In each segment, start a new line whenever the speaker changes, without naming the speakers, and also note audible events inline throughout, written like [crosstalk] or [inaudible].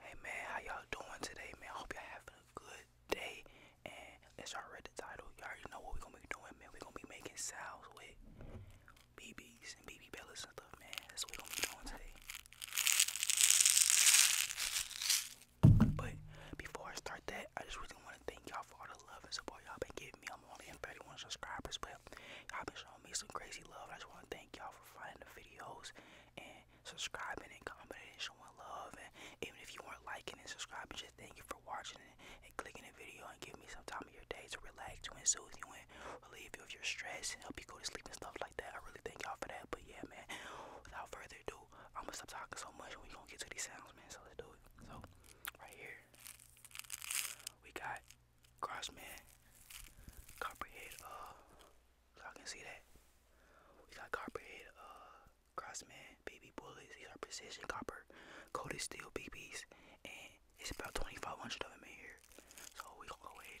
Hey man, how y'all doing today, man? I hope y'all having a good day. And as y'all read the title, y'all already know what we're gonna be doing, man. We're gonna be making sounds with BBs and BB bellas and stuff, man. That's what we're gonna be doing today. But before I start that, I just really wanna thank y'all for all the love and support y'all been giving me. I'm only in 31 subscribers, but y'all been showing showing me some crazy love. I just want to thank y'all for finding the videos and subscribing and commenting and showing love. And even if you weren't liking and subscribing, just thank you for watching and, clicking the video and giving me some time of your day to relax, to soothe you, and relieve you of your stress and help you go to sleep and stuff like that. I really thank y'all for that. But yeah, man, without further ado, I'm gonna stop talking so much and we gonna get to these sounds, man. So let's do it. So right here, we got Crossman, Copperhead, uh, y'all can see that. We got Copperhead, uh, Crossman, Baby Bullets. These are precision copper coated steel BBs, and it's about 2,500 of them in here. So we gonna go ahead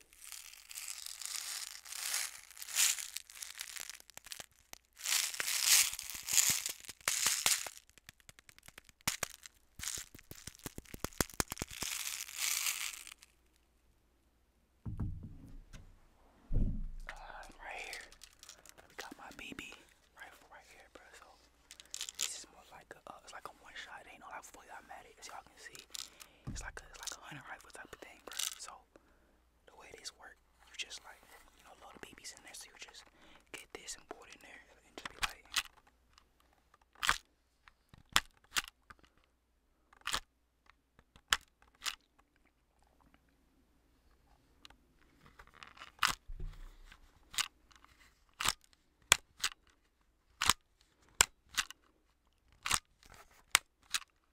Uh, right here, we got my BB rifle right here, bro. So this is more like a, uh, it's like a one shot. It ain't no like fully automatic, as y'all can see. It's like a, it's like a hunting rifle type of thing, bro. So the way this work, you just like, you know, a lot of babies in there, so you just get this and pour it in there and just be like.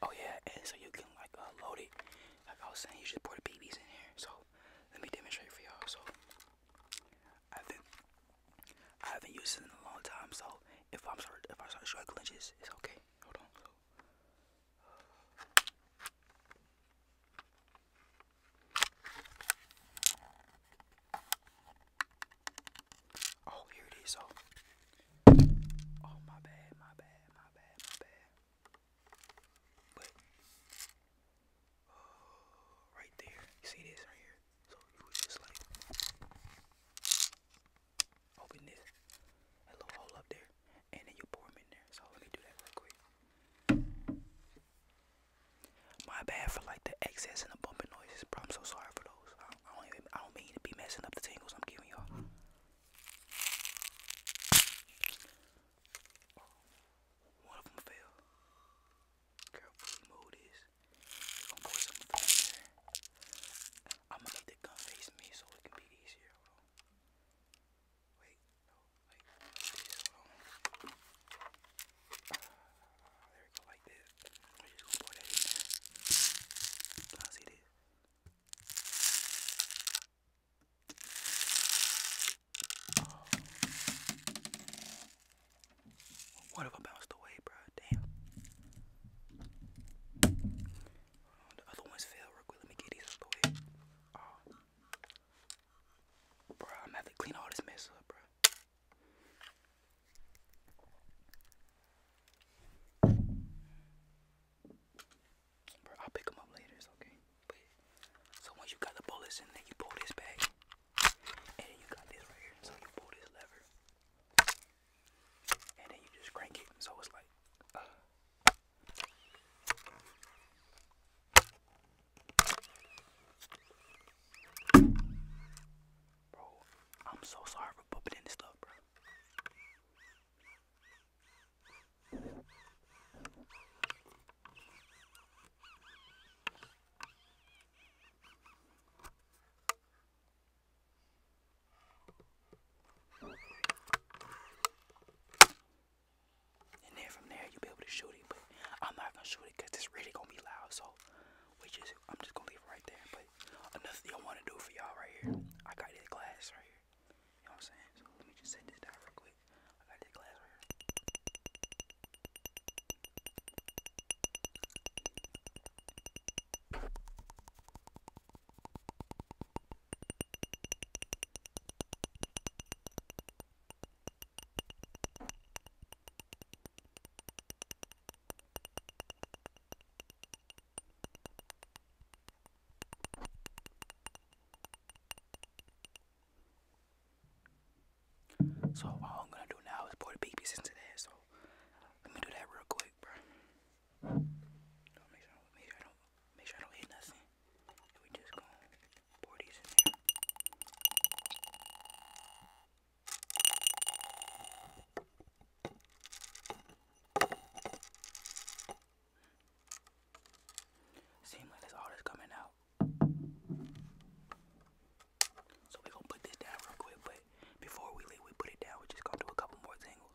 Oh yeah, and so you can like uh, load it like I was saying, you should pour the babies in here. So let me demonstrate for y'all. So I think I haven't used it in a long time. So if I'm start if I start struggling, just it's okay. Hold on. So, Oh, here it is. So, oh my bad, my bad, my bad, my bad. But uh, right there, you see this right here. So you would just like open this a little hole up there, and then you pour them in there. So let me do that real quick. My bad for like the excess and the bumping noises, bro. I'm so sorry for those. I don't, I don't even. I don't mean to be messing up the tingles I'm giving y'all. One of them fell. Girl, pretty mode is. I'm gonna make the gun face me so it can be easier. Hold Wait, ah, there we go, like this. just gonna pour that in there. Can I see this? What if I bounced away, bro? Damn. the other ones fell real quick. Let me get these out the way. Oh. Bro, I'm gonna have to clean all this mess up, bro. Bro, I'll pick them up later, it's okay. so once you got the bullets in there, you pull this back. And then you got this right here. So you pull this lever. And then you just crank it. So it's like, Bro, I'm so sorry for bumping in this stuff, bro. And then from there you'll be able to shoot it, but I'm not gonna shoot it because it's really gonna be loud. So, which is I'm just gonna leave it right there. But another thing I want to do for y'all right here, I got this glass right here. You know what I'm saying? So let me just set this down real quick. I got this glass right here. So all I'm gonna do now is pour the babies into there. So let me do that real quick, bro. make sure, I don't, make sure I don't hit nothing. And we just going pour these in there. Seems like there's all this coming out. So we're gonna put this down real quick, but before we leave, we put it down. We're just gonna do a couple more tangles.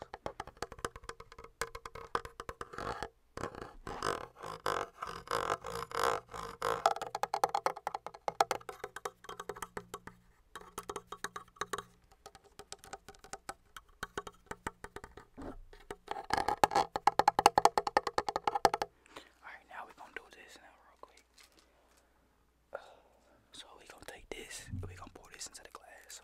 Alright, now we're gonna do this now real quick. Uh, [sighs] so we gonna take this, we gonna pour this into the glass. So.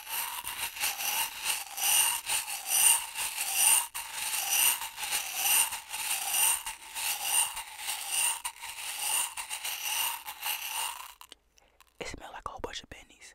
It smells like a whole bunch of bennies.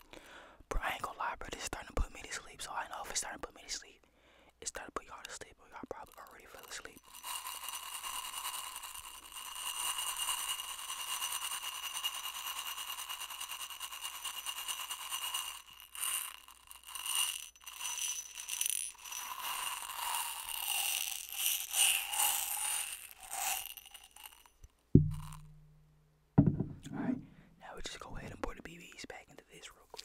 Bro, I ain't gonna lie, bro. This is starting to put me to sleep. So I know if it's starting to put me to sleep, it's starting to put y'all to sleep. Or y'all probably already fell asleep. Alright, now we just go ahead and put the BBs back into this real quick.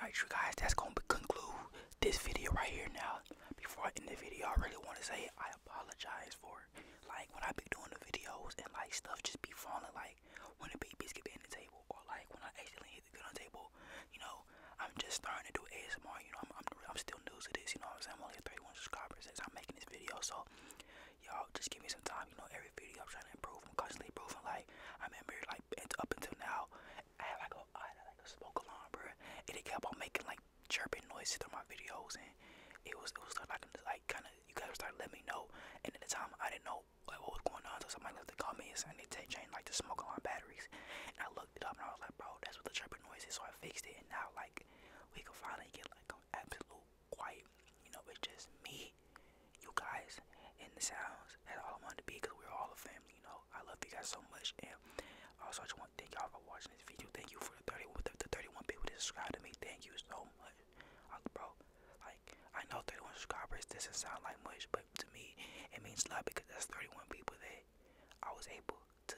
Alright, you guys, that's gonna conclude this video right here now. Before I end the video, I really want to say I apologize for like when I be doing the videos and like stuff just be falling like when the babies get in the table or like when I accidentally hit the gun on the table, you know, I'm just starting to do ASMR, you know, I'm, I'm, I'm still new to this, you know what I'm saying, I'm only at 31 subscribers as I'm making this video, so y'all just give me some time, you know, every video I'm trying to improve, I'm constantly improving, like, I remember, like, up until now, I had like a, I had like a smoke alarm, bro, and it kept on making like chirping noises through my videos, and it was, it was like, I'm just like kind of you gotta start letting me know. And at the time, I didn't know what was going on. So somebody to call me and they changed like to smoke a lot of batteries. And I looked it up and I was like, bro, that's what the chirping noise is. So I fixed it. And now like we can finally get like an absolute quiet. You know, it's just me, you guys, and the sounds. That's all I wanted to be because we're all a family. You know, I love you guys so much. And also, I just want to thank y'all for watching this video. Thank you for the 31 the 31 people that subscribed to me. Thank you so much bro, like, I know 31 subscribers doesn't sound like much, but to me, it means a lot because that's 31 people that I was able to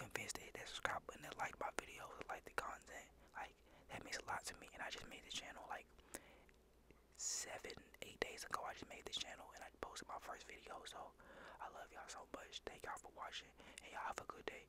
convince to hit that they subscribe and they like my videos, they like the content. Like, that means a lot to me. And I just made the channel like seven, eight days ago. I just made this channel and I posted my first video. So, I love y'all so much. Thank y'all for watching, and y'all have a good day.